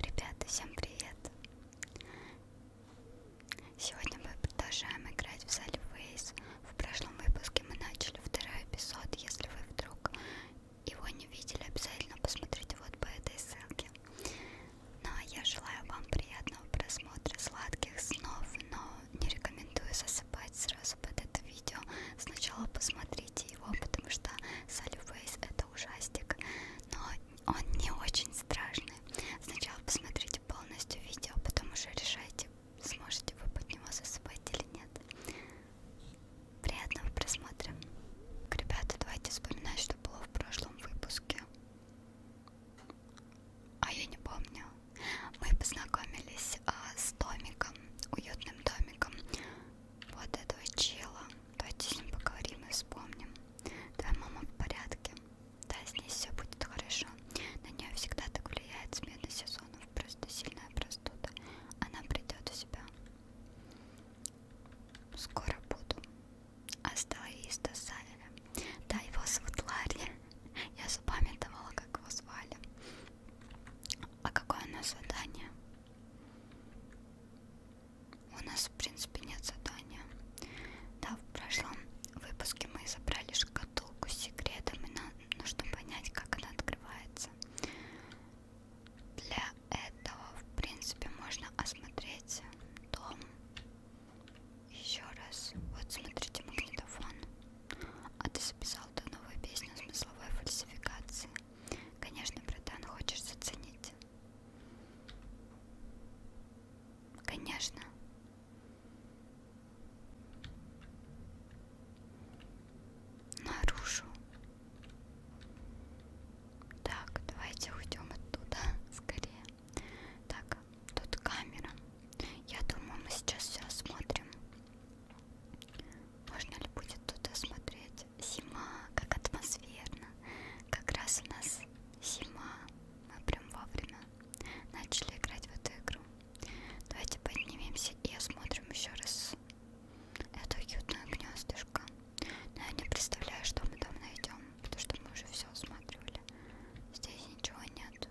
Ребята, всем привет! Сегодня мы продолжаем играть в Solface. В прошлом выпуске мы начали второй эпизод. Если вы вдруг его не видели, обязательно посмотрите вот по этой ссылке. Ну а я желаю вам приятного просмотра, сладких снов, но не рекомендую засыпать сразу под это видео. Сначала посмотрите его, потому что Solface это ужастик, но он не очень страшный. Сначала посмотрите полностью видео, потом уже решайте, сможете вы под него засыпать или нет. Приятного просмотра. Ребята, давайте вспоминать, что было в прошлом выпуске. А я не помню. Мы познакомились а, с домиком, уютным домиком вот этого чела. Давайте с ним поговорим и вспомним. Да, мама в порядке. Да, с ней все будет хорошо. На нее всегда так влияет смена сезонов. Просто сильная простуда. Она придет в себя. Скоро буду. Астаиста Савеля. Да, его зовут Ларри. Я запамятовала, как его звали. А какое у нас задание? У нас, в принципе, нет задания. Да, в прошлом выпуске мы забрали шкатулку с секретом, и нам нужно понять, как она открывается. Для этого, в принципе, можно осмотреть дом. Еще раз. Вот, смотрите, магнитофон. А ты записал до новой песни о смысловой фальсификации. Конечно, братан, хочешь заценить? Конечно. Нарушу. Так, давайте уйдем оттуда скорее. Так, тут камера. Я думаю, мы сейчас все осмотрим. Можно ли будет туда смотреть? есть зима, как атмосферно. Как раз у нас зима. Мы прям вовремя начали играть в эту игру. Давайте поднимемся и осмотрим еще раз это уютное гнездышко. Но я не представляю, что мы там найдем, потому что мы уже все осматривали. Здесь ничего нет.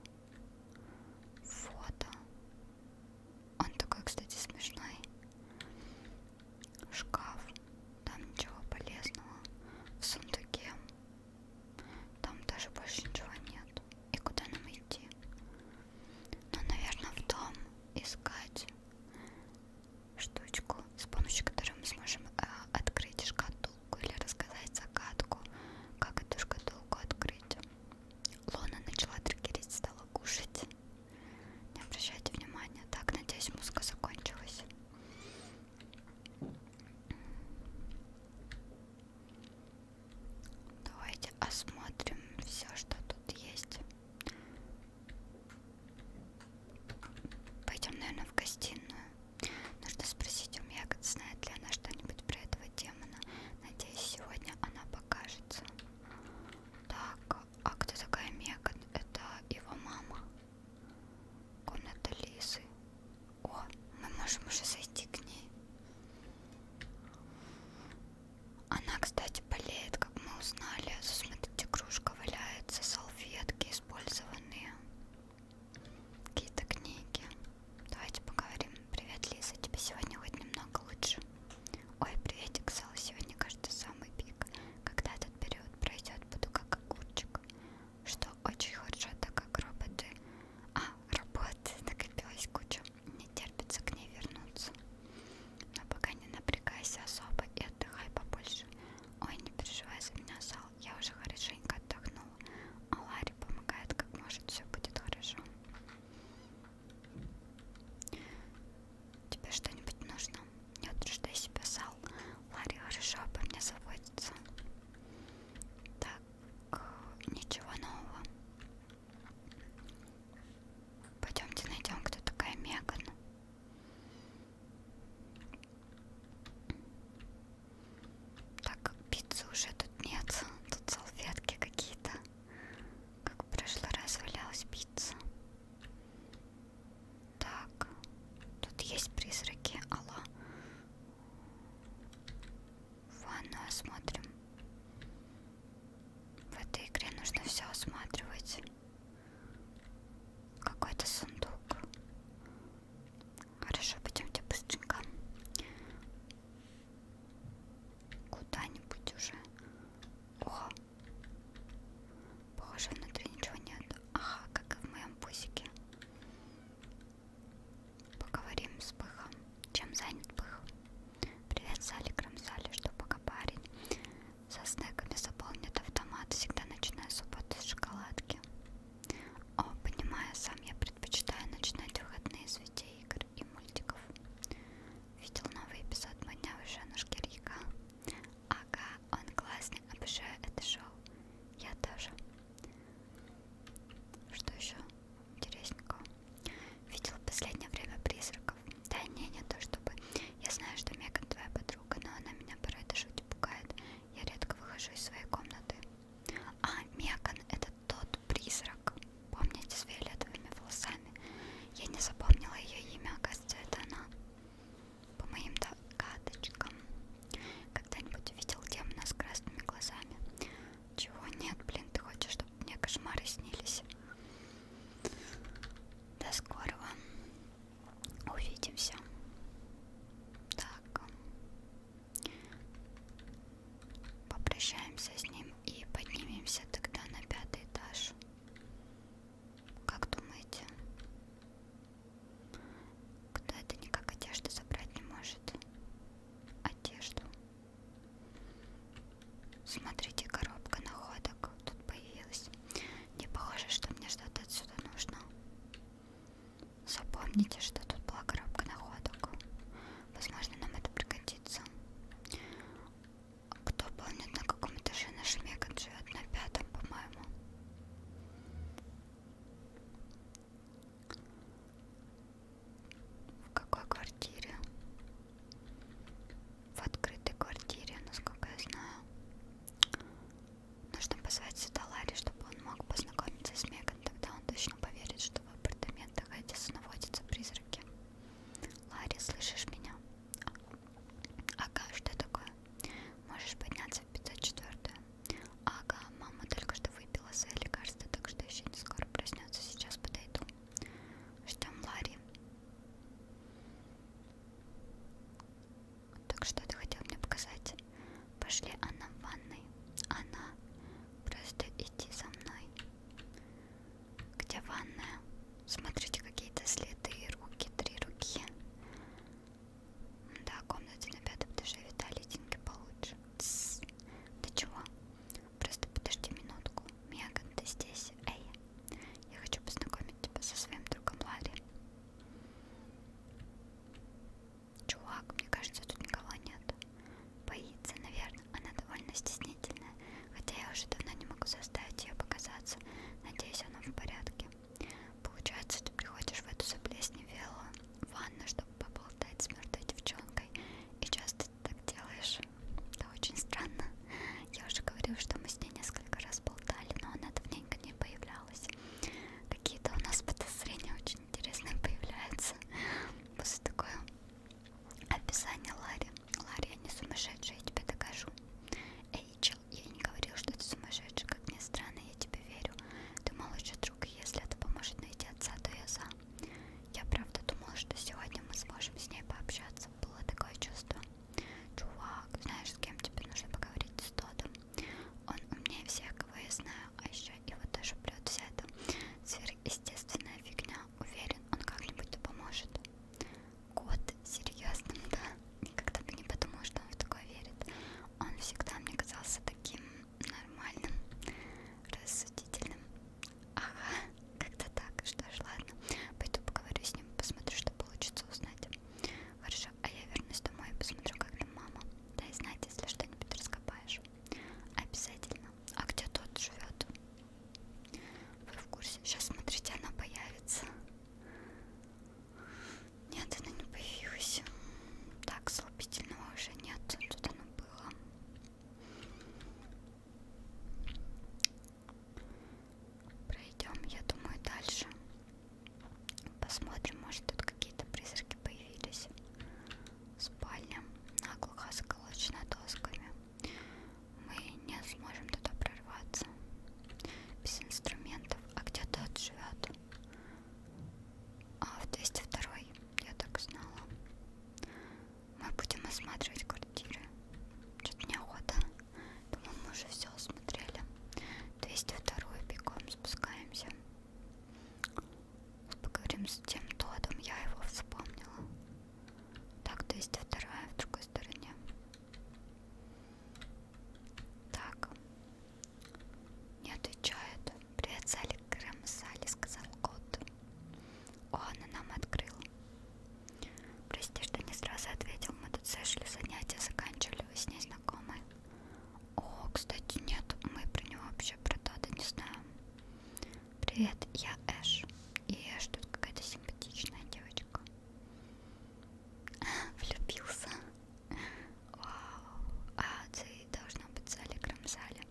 Фото. Он такой, кстати, смешной. Шкаф, там ничего полезного. В сундуке, там даже больше ничего нет. И куда нам идти? Ну, наверное, в дом искать штучку, с помощью которой мы сможем э, открыть шкатулку или рассказать загадку, как эту шкатулку открыть. Лона начала триггерить, стала кушать. Не обращайте внимания. Так, надеюсь, музыка закончилась. Давайте осмотрим все, что тут есть. Пойдем, наверное, в гостиную. Нужно спросить у Мегат, знает ли она что-нибудь про этого демона. Надеюсь, сегодня она покажется. Так, а кто такая Мегат? Это его мама. Комната Лизы. О, мы можем уже зайти к ней. Она, кстати, болеет, как мы узнали. Смотрите, кружка валяется, салфетки использованные. Какие-то книги. Давайте поговорим. Привет, Лиза, тебе сегодня хоть немного лучше. Ой, приветик, Сал, сегодня, кажется, самый пик. Когда-то этот период пройдет, буду как огурчик. Что очень хорошо, так как роботы... А, работы накопилась куча. Не терпится к ней вернуться. Но пока не напрягайся особо и отдыхай побольше. Ой, не переживай за меня, Сал. Я уже хорошенько отдохнула. А Ларри помогает, как может, все будет хорошо. Тебе что-нибудь нужно? Не утруждай себя, Сал. Ларри хорошо обо мне заботится. Так, э, ничего нового. Пойдемте найдем, кто такая Меган. Так как пиццы уже тут нет, тут салфетки какие-то. Как в прошлый раз валялась пицца. Так, тут есть призраки. Алло. Ванну осмотрим. В этой игре нужно все осматривать. Какой-то сундук. Хорошо, пойдемте быстренько. Куда-нибудь уже. О! Боже, внутри ничего нет. Ага, как и в моем пусике. Поговорим с Пыхом. Чем занят Пых? Привет, Сали, Крамсали, что пока парень. Со снеками заполнит автомат. Всегда начинаю субботу с шоколадки. О, понимаю, сам я предпочитаю начинать выходные с видео игр и мультиков. Видел новый эпизод «Модня выше на шкирьяка». Ага, он классный, обожаю это шоу. Я тоже. Что еще интересненького? Видела в последнее время призраков. Да не, не то чтобы. Я знаю, что Меган твоя подруга, но она меня порой даже пугает. Я редко выхожу из своей комнаты. А, Меган это тот призрак. Помните, с фиолетовыми волосами? Я не запомнила ее имя, оказывается, это она по моим догадочкам, когда-нибудь увидел демона с красными глазами. Чего нет, блин, ты хочешь, чтобы мне кошмары снились? До скорого. Увидимся. Так. Попрощаемся с ним и поднимемся тогда на пятый этаж. Как думаете? Кто это никак одежду забрать не может? Одежду. Смотрите, коробка находок тут появилась. Не похоже, что мне что-то отсюда нужно. Запомните, что тут была коробка находок. Возможно, нам это пригодится. Кто помнит, на каком этаже наш Меган живет? На пятом, по-моему. В какой квартире? В открытой квартире, насколько я знаю. Нужно позвать сюда Ларри, чтобы он мог познакомиться с Меган. Тогда он точно поверит, что в апартаментах Эдисона наводятся призраки. Ларри, слышишь меня? Ага, что такое? Можешь подняться в 54 Ага, мама только что выпила свое лекарство, так что еще не скоро проснется. Сейчас подойду. Ждем Ларри. Так что ты хотел мне показать? Пошли, она в ванной. Она. Просто идти со мной. Где ванная? Смотрите, какие-то следы, руки, три руки. Да, комнате на пятом этаже виталитинки получше. Тссс. Ты чего? Просто подожди минутку. Меган, ты здесь? Эй, я хочу познакомить тебя со своим другом Ларри. Чувак, мне кажется, тут никого нет. Боится, наверное. Она довольно стеснительная. Хотя я уже давно не могу заставить ее показаться. Надеюсь, она в порядке. Получается, ты приходишь в эту заплесневелую ванну, чтобы поболтать с мертвой девчонкой, и часто ты так делаешь. Это очень странно. Я уже говорила, что мы с ней несколько раз болтали, но она давненько не появлялась. Какие-то у нас подозрения очень интересные появляются после такое описание Ларри. Ларри, я не сумасшедшая, я тебе докажу. Эйчел, я не говорил, что ты сумасшедший, как ни странно, я тебе верю. Ты мой лучший друг, и если это поможет найти отца, то я за. Я правда думала, что сегодня мы сможем с ней пообщаться. Было такое чувство. Чувак, знаешь, с кем тебе нужно поговорить с Тодом? Он умнее всех, кого я знаю, а еще его тоже прет вся эта сверхъестественная фигня. Уверен, он как-нибудь поможет. Кот, серьезно, да? никогда бы не подумала, что он в такое верит. Он всегда мне казался таким нормальным, рассудительным. Ага, как-то так. Что ж, ладно. Пойду поговорю с ним, посмотрю, что получится узнать. Хорошо, а я вернусь домой и посмотрю, как там мама. Да и знать, если что-нибудь раскопаешь. Обязательно. А где тот живет? Вы в курсе? Сейчас смотрите, она появится. Нет, она не появилась. Так, слабительного уже нет. Тут оно было. Пройдем, я думаю, дальше. Посмотрим, может тут какие-то призраки появились. Спальня наглухо заколочена досками. Мы не сможем туда прорваться. Без инструментов. А где тот живет? А в 202 я так и знала. Мы будем осматривать квартиры. Что-то неохота. Думаю, мы уже все осмотрели. 202 бегом спускаемся. Поговорим с тем Тодом. Я его вспомнила. Так, 202 в другой стороне. Так, не отвечает. Привет, Салик Крэмсали, сказал кот. О, она нам открыла. Прости, что не сразу ответил. Мы тут сошли, занятия заканчивали. Вы с ней знакомы? О, кстати, нет, мы про него вообще про Тода не знаем. Привет, я Эш. И Эш тут какая-то симпатичная девочка. Влюбился. Вау, а ты должна быть в зале Грамзале.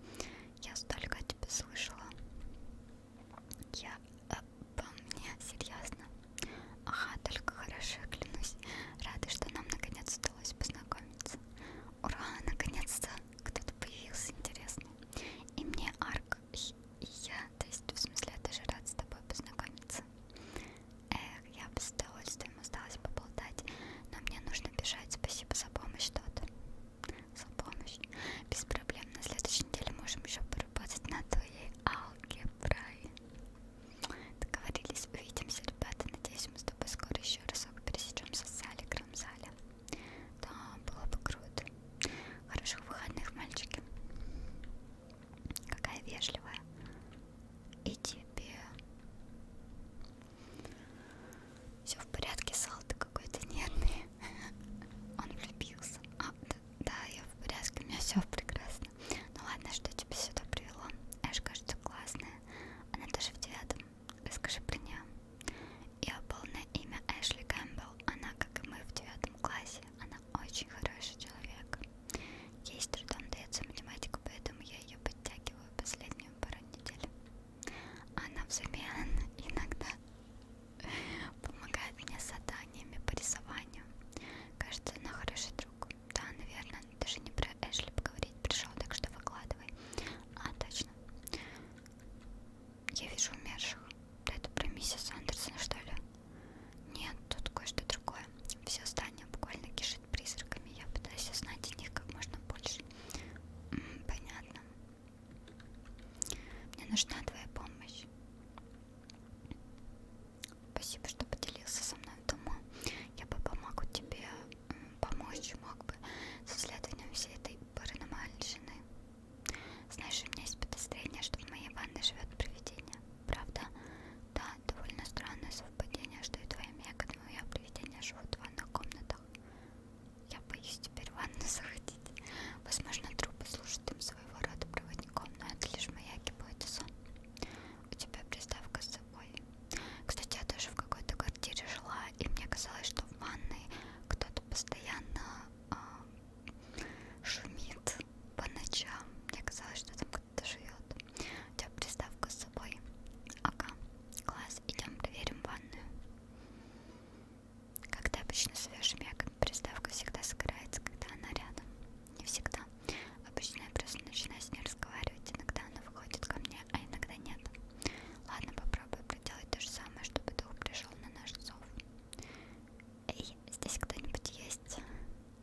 Я столько о тебе слышала. Я обо э, мне, серьезно. Ага, только хорошо, клянусь. Рада, что нам наконец удалось познакомиться. Ура, наконец-то кто-то появился интересный. И мне Арк, и я, то есть, в смысле, я даже рад с тобой познакомиться. Эх, я бы с удовольствием осталась поболтать, но мне нужно бежать. Спасибо за помощь, тот. За помощь. Без проблем. На следующей неделе можем еще поработать на твоей алгеброй. Договорились, увидимся, ребята. Надеюсь, мы с тобой скоро еще разок пересечемся в зале, крамзале. Да, было бы круто. Хороших выходных, мальчики. Какая вежливая. И тебе... Все в порядке, Салты какой-то нервный. Он влюбился. А, да, да, я в порядке, у меня все прекрасно. Ну ладно, что тебя сюда привело? Эш, кажется, классная. Она тоже в девятом. Расскажи про нее. Ее полное имя Эшли Кэмпбелл. Она, как и мы, в девятом классе. Она очень хороший человек. Ей с трудом дается математика, поэтому я ее подтягиваю последнюю пару недель. Она взамен иногда помогает мне с заданиями по рисованию. Кажется, она хороший друг. Да, наверное, даже не про Эшли поговорить пришел, так что выкладывай. А, точно. Я вижу умерших. Да это про миссис Андерсон, что ли? Нет, тут кое-что другое. Все здание буквально кишит над призраками. Я пытаюсь узнать о них как можно больше. Понятно. Мне нужна твоя помощь. Спасибо, что поделился со мной дома. Я бы помогу тебе помочь, мог бы с исследованием всей этой паранормальщины. Знаешь, у меня есть подозрение, что в моей ванной живет привидение. Правда? Да, довольно странное совпадение, что и твоя мега, и мое привидение живут в ванных комнатах. Я боюсь теперь в ванну заходить. Возможно, трупы служат им своего рода проводником, но это лишь моя гипотеза. У тебя приставка с собой. Кстати, я тоже в какой-то квартире жила, и мне казалось, что в ванной кто-то постоянно э, шумит по ночам. Мне казалось, что там живет, живет. У тебя приставка с собой. Ага, класс, идем проверим ванную. Когда обычно свежим яком приставка всегда сгорается, когда она рядом. Не всегда. Обычно я просто начинаю с ней разговаривать. Иногда она выходит ко мне, а иногда нет. Ладно, попробую проделать то же самое, чтобы дух пришел на наш зов. Эй, здесь кто-нибудь есть?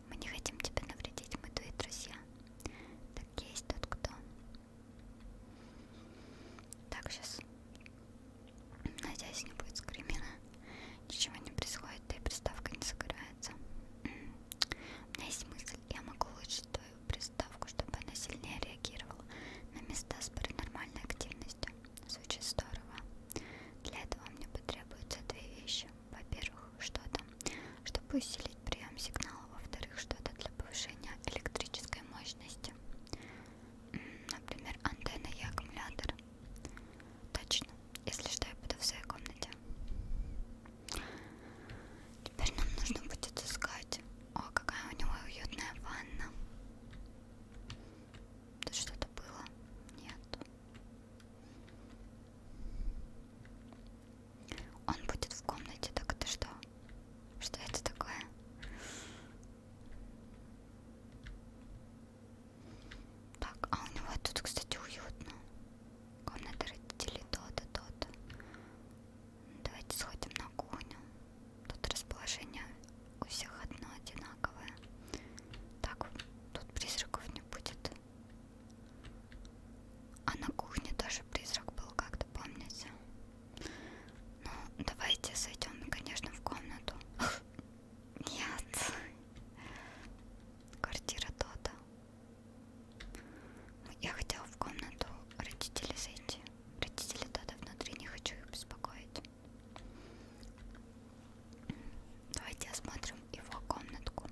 Мы не хотим тебе навредить, мы твои друзья. Так есть тот кто. Так, сейчас. Надеюсь, не будет скримина. Ничего не происходит, да и приставка не загорается. У меня есть мысль, я могу улучшить твою приставку, чтобы она сильнее реагировала на места с паранормальной активностью. Звучит здорово. Для этого мне потребуются две вещи во-первых, что-то, чтобы усилить прием сигнала, во-вторых, что-то для повышения электрической мощности, например, антенна и аккумулятор. Точно, если что, я буду в своей комнате. Теперь нам нужно будет искать. О, какая у него уютная ванна. Тут что-то было? Нет. Он будет в комнате, так это что? Что это такое? Так, а у него тут, кстати, уютно. Комната родителей то-то, то-то. Давайте сходим на кухню. Тут расположение у всех одно одинаковое. Так, тут призраков не будет. А на кухне тоже призрак был, как-то помните? Ну, давайте зайдем, конечно, в комнату. Нет. Квартира Тота. Ну, я хотела в комнату родителей зайти. Родители Тота внутри, не хочу их беспокоить. Давайте осмотрим его комнатку.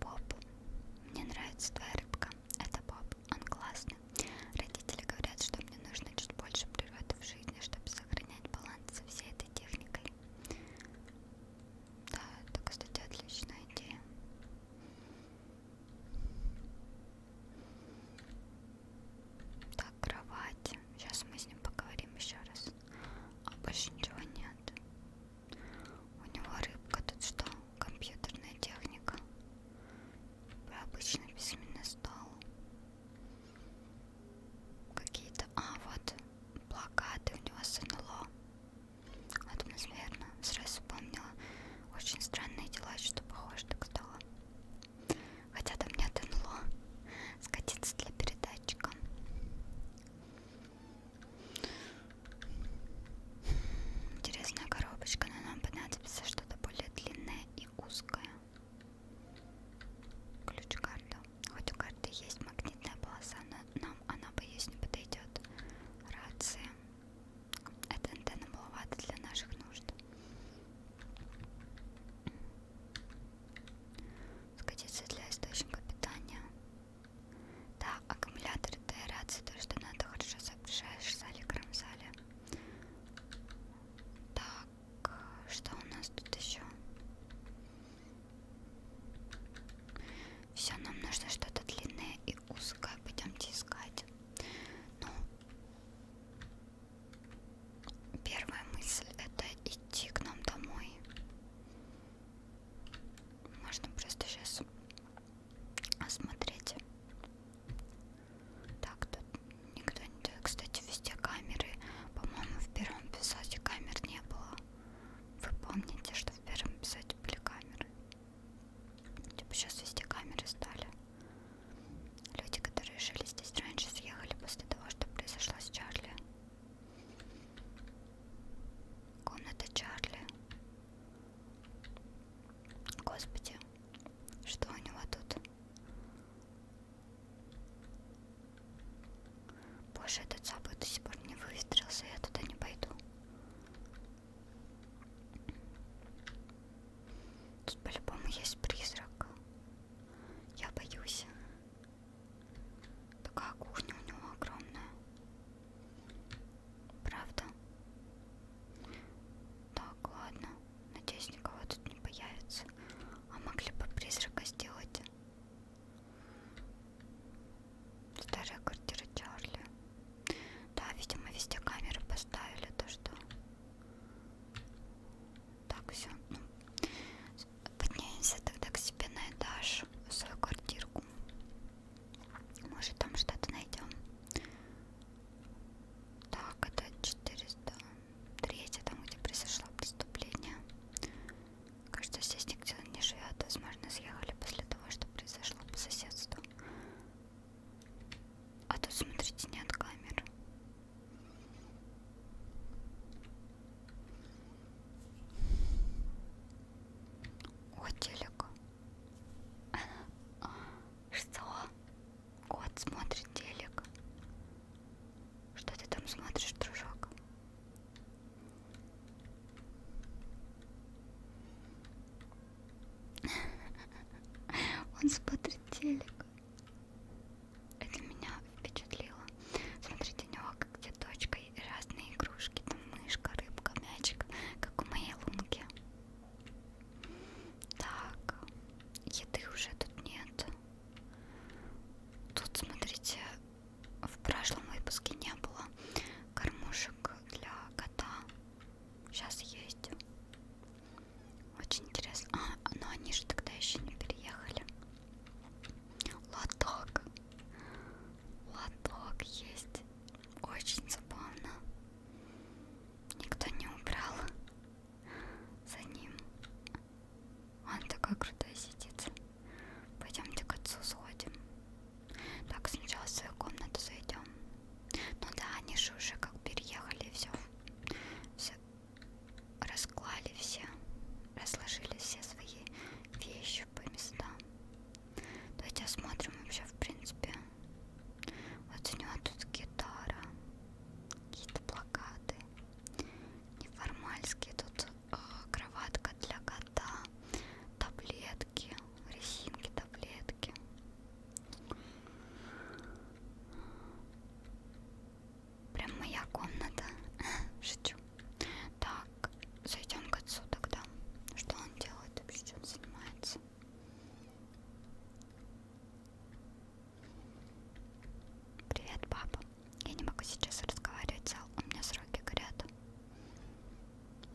Боб. Мне нравится твоя рыбка. Это Боб. Он классный. Родители говорят, что мне нужно чуть больше природы в жизни, чтобы сохранять баланс со всей этой техникой. Да, это, кстати, отличная идея. Так, кровать. Сейчас мы с ним поговорим еще раз. А больше ничего нет. У него рыбка тут что? Компьютерная техника. Про обычный письменный стол. Какие-то... А, вот плакаты у него с НЛО. Атмосферно. Сразу вспомнила. Очень странные дела, что похоже так стало. Хотя там нет НЛО. Скатиться для передатчика. Интересная коробочка, но нам понадобится что-то более длинное и узкое. Ключ карта. Хоть у карты есть магнитная полоса, но нам она, боюсь, не подойдет. Рация. Эта антенна маловато для наших нужд. Скатиться для источника питания. Да, аккумулятор это рация, то что надо хорошо соображаешь в зале, кром зале. Так, что у нас тут еще? Все, нам нужно что-то длинное и узкое. Пойдемте искать. Ну, первая мысль это идти к нам домой. Можно просто сейчас смотрите так тут никто не делает кстати везде камеры по моему в первом писате камер не было вы помните что в первом писате были камеры типа сейчас везде камеры стали люди которые жили здесь раньше съехали после того что произошло с чарли комната чарли Господи, что у него тут? Боже, этот забыл до сих пор не выстрелился, я туда не пойду. Тут по-любому есть призрак. Я боюсь. Такая кухня у него огромная. Правда? Так, ладно. Надеюсь, никого тут не появится. А могли бы призрака сделать? Старая квартира Чарли. Да, видимо, везде камеры поставили, то что. Так, все. Ну, поднимемся тогда к себе на этаж гараж, свою квартирку. Может там что-то найдем. Так, это 403, там где произошло преступление. Кажется, здесь никто не живет. Возможно, съехали после того, что произошло по соседству. А тут, смотрите, нет камер. О, телек. Что? Кот смотрит телек. Что ты там смотришь, дружок? Он смотрит телек. Это меня впечатлило. Смотрите, у него где точка игрушкой разные игрушки, там мышка, рыбка, мячик, как в моей лунке. Так, еды уже тут нет. Тут, смотрите, в прошлом выпуске не было кормушек для кота. Сейчас есть. Очень интересно. А, но они же тогда еще не переехали. Лоток. Лоток есть. Очень забавно. Никто не убрал за ним. Он такой крутой сидит. Пойдемте к отцу сходим. Так, сначала в свою комнату зайдем. Ну да, они же уже как переехали, все, все расклали все, разложили все свои вещи по местам. Давайте осмотрим вообще, в принципе. Вот у него тут гитара, какие-то плакаты, неформальские, тут э, кроватка для кота, таблетки, резинки, таблетки. Прям моя комната. Шучу. Так, так, зайдем к отцу тогда. Что он делает вообще, чем занимается? Привет, папа. Я не могу сейчас разговаривать, зал. У меня сроки горят.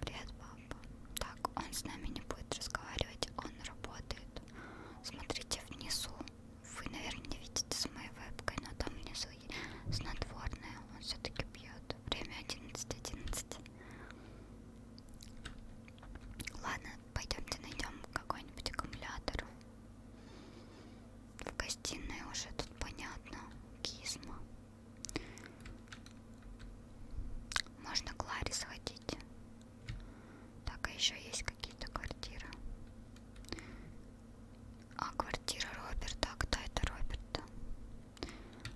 Привет, папа. Так, он с нами не будет разговаривать, он работает. Смотрите внизу. Вы, наверное, не видите с моей вебкой, но там внизу есть снотворное. Он все-таки пьет. Время 11.11. 11. Ладно, пойдемте найдем какой-нибудь аккумулятор. В гостиной уже тут понятно. Кизма. Можно к Ларе сходить. Так, а еще есть какие-то квартиры. А квартира Роберта. А кто это Роберта?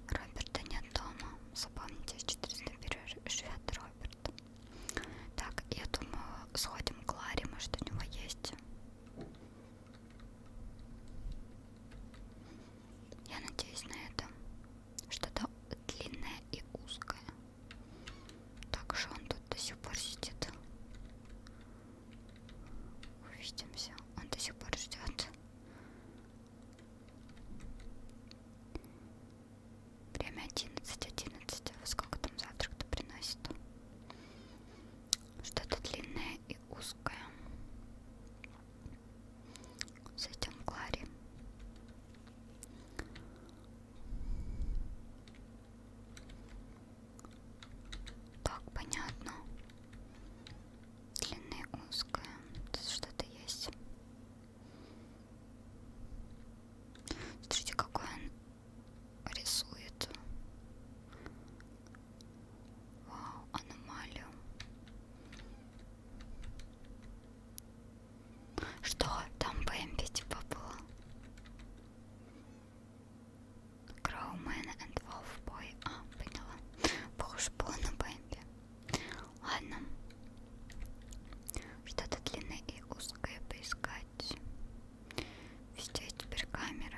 Роберта нет дома. Запомните, 400 живет Роберт. Так, я думаю, сходим к Ларе, может у него есть. Я надеюсь на это. Что-то длинное и узкое. Так же он тут до сих пор сидит. Увидимся. Он до сих пор ждет. Время одиннадцать, одиннадцать. А во сколько там завтрак-то приносит? Что-то длинное и узкое. Зайдем к Ларе. Так, понятно длины узкая. Тут что-то есть. Смотрите, какой он рисует. Вау, аномалию. Что? Там Бэмби типа было? Crowman and Wolf Boy. А, поняла. Похоже было на Бэмби. Ладно. Что-то длинное и узкое поискать. Везде теперь камеры.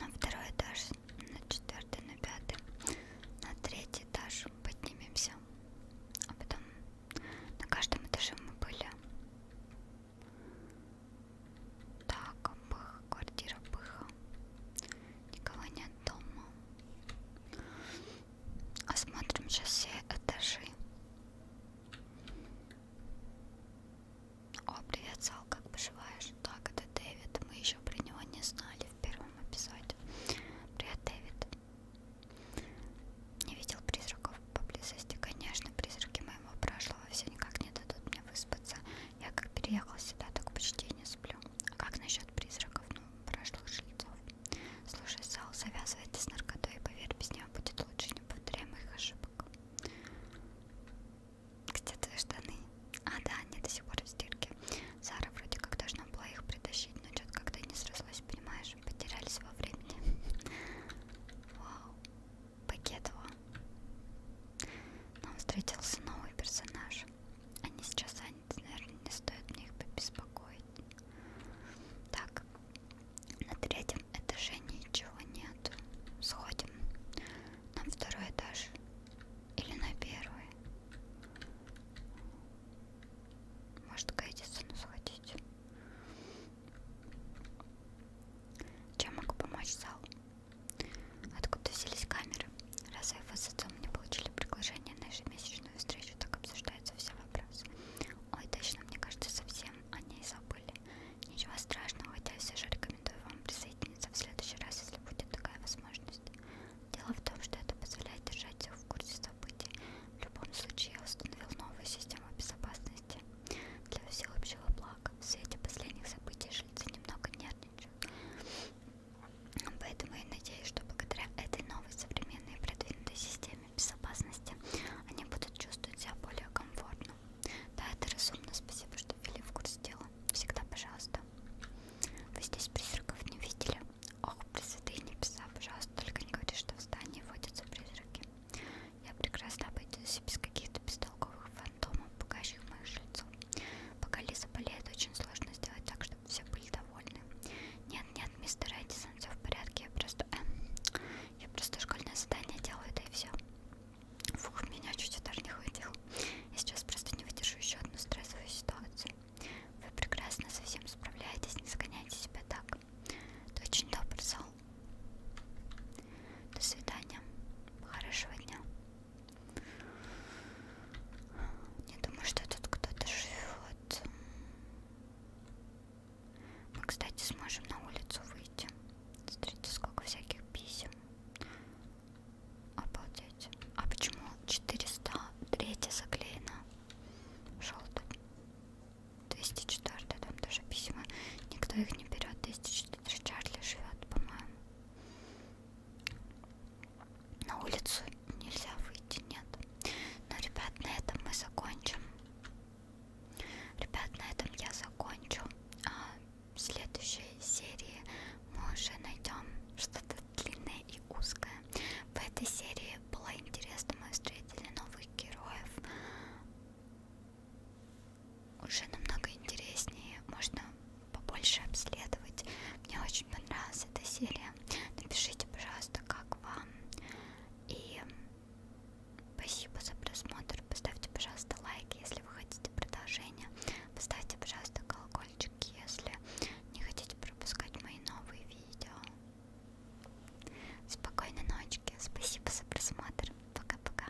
На второй этаж, на четвертый, на пятый, на третий этаж поднимемся. А потом на каждом этаже мы были. Так, пых, квартира пыха. Никого нет дома. Осмотрим сейчас все этажи. О, привет, Сал, как поживаешь? Так, это Дэвид. Мы еще про него не знали в первом эпизоде. Привет, Дэвид. Не видел призраков поблизости. Конечно, призраки моего прошлого все никак не дадут мне выспаться. Я как переехала сюда, так почти не сплю. А как насчет призраков? Ну, прошлых жильцов. Слушай, Сал, завязывайте с наркотой, и поверь, без нее будет лучше, не повторяй моих ошибок. Где твои штаны? А, да, они до сих пор в стирке. Сара вроде как должна была их притащить, но что-то как-то не срослось, понимаешь? Потерялись во времени. Вау. Пакетова. Нам встретился новый персонаж. Они сейчас заняты, наверное, не стоит мне их побеспокоить. Так, на третьем этаже ничего нет. Сходим на второй этаж или на первый. Может, к Эдисону сходить. Чем могу помочь, Зал? Откуда взялись камеры? Раз вы с отцом не получили приглашение на ежемесячную встречу, так обсуждаются все вопросы. Ой, точно, мне кажется, совсем о ней забыли. Ничего страшного, хотя я все же рекомендую вам присоединиться в следующий раз, если будет такая возможность. Дело в том, что это позволяет держать всех в курсе событий. В любом случае, я установил новую систему безопасности для всеобщего блага. В свете последних событий жильцы немного нервничают сотрудничаем. Поэтому я надеюсь, что благодаря этой новой современной и продвинутой системе безопасности они будут чувствовать себя более комфортно. Да, это разумно. Спасибо, что ввели в курс дела. Всегда, пожалуйста. Вы здесь призраков не видели? Ох, пресвятые небеса, пожалуйста, только не говори, что в здании водятся призраки. Я прекрасно обойдусь без каких-то от бестолковых фантомов, пугающих моих жильцов. Пока Лиза болеет, очень сложно сделать так, чтобы все были довольны. Нет, нет, мистер Эдисон, все в порядке, я просто... Э, я просто школьное задание делаю, да и все. Фух, меня чуть удар не хватил. Я сейчас просто не выдержу еще одну стрессовую ситуацию. Вы прекрасно со всем справляетесь, не загоняйте себя так. Ты очень добр, Сол. До свидания. Хорошего дня. Не думаю, что тут кто-то живет. Мы, кстати, сможем на улицу выйти. Смотрите, сколько всяких писем. Обалдеть. А почему 400 третья заклеена? Желтый. 204 там тоже письма. Никто их не берет. 204 Чарли живет, по-моему. На улицу нельзя выйти, нет. Но, ребят, на этом мы закончим. Ребят, на этом я закончу. А в следующей серии мы уже найдем что-то длинное и узкое. В этой серии было интересно, мы встретили новых героев уже намного интереснее, можно побольше обследовать. Мне очень понравилась эта серия. Напишите, пожалуйста, как вам. И спасибо за просмотр. Поставьте, пожалуйста, лайк, если вы хотите продолжения. Поставьте, пожалуйста, колокольчик, если не хотите пропускать мои новые видео. Спокойной ночи. Спасибо за просмотр. Пока-пока.